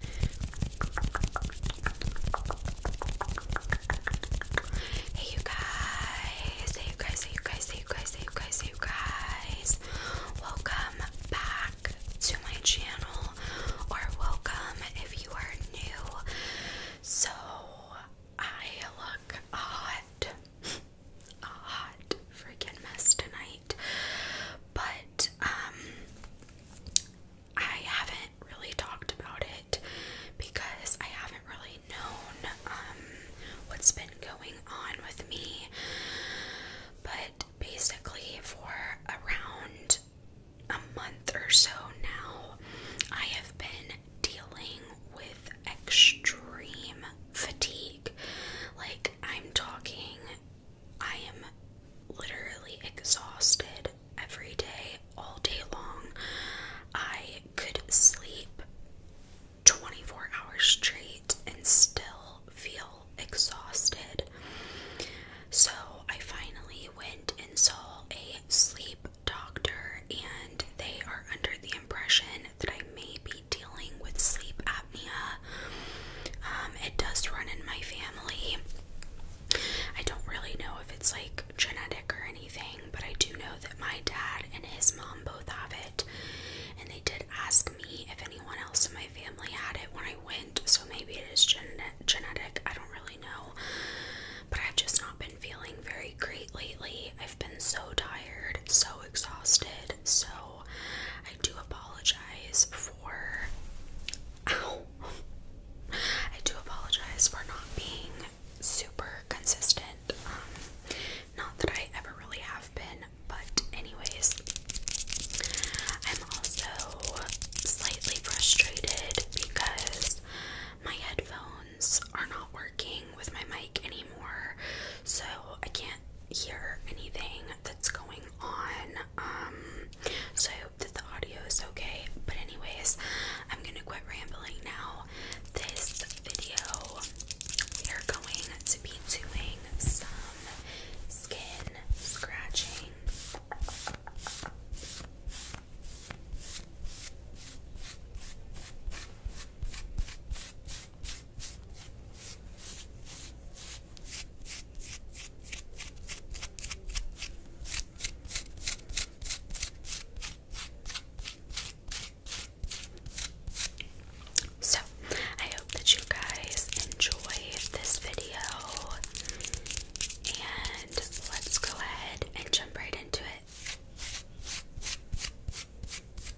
Hey you guys, hey you guys, hey you guys, hey you guys, hey you guys, hey you guys. Welcome back to my channel, or welcome if you are new. So I look hot, hot freaking mess tonight. But um, I haven't really talked about it because I haven't really known um, what's been going on with me. But basically for around a month or so now, I have been dealing with extreme fatigue. Like, I'm talking I am literally exhausted every day, all day long. I could sleep 24 hours straight and still feel exhausted. So I finally went and saw a sleep doctor, and they are under the impression that I may be dealing with sleep apnea. Um, it does run in my family. I don't really know if it's like genetic or anything, but I do know that my dad and his mom both have it. And they did ask me if anyone else in my family had it when I went, so maybe it genetic. I don't really know. But I've just not been feeling very great lately. I've been so tired, so exhausted, so I do apologize for. I do apologize for not being super consistent. Um, not that I ever really have been, but, anyways, I'm also slightly frustrated because my headphones are not working with my mic anymore, so I can't hear anything that's going on. Um, so I hope that the audio is okay. But anyways, I'm gonna quit rambling now. This video, we are going to be doing some skin scratching. So, I hope that you guys enjoyed this video, and let's go ahead and jump right into it.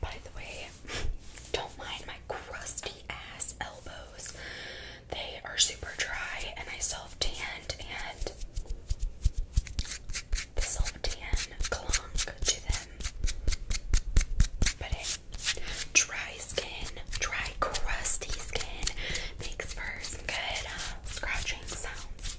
By the way, don't mind my crusty ass elbows. They are super dry and I self tanned and this Oldian clung to them. But it dry skin, dry crusty skin makes for some good uh, scratching sounds.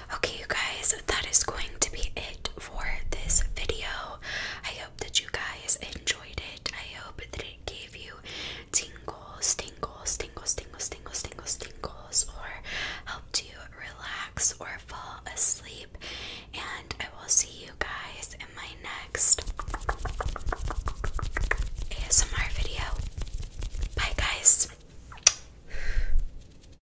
Okay, you guys, that is going to be it for this video. I hope that you guys enjoyed it. I hope that it gave you tingles, tingles, tingles, tingles, tingles, tingles, tingles, or helped you relax or fall asleep. And I will see you guys in my next ASMR video. Bye, guys.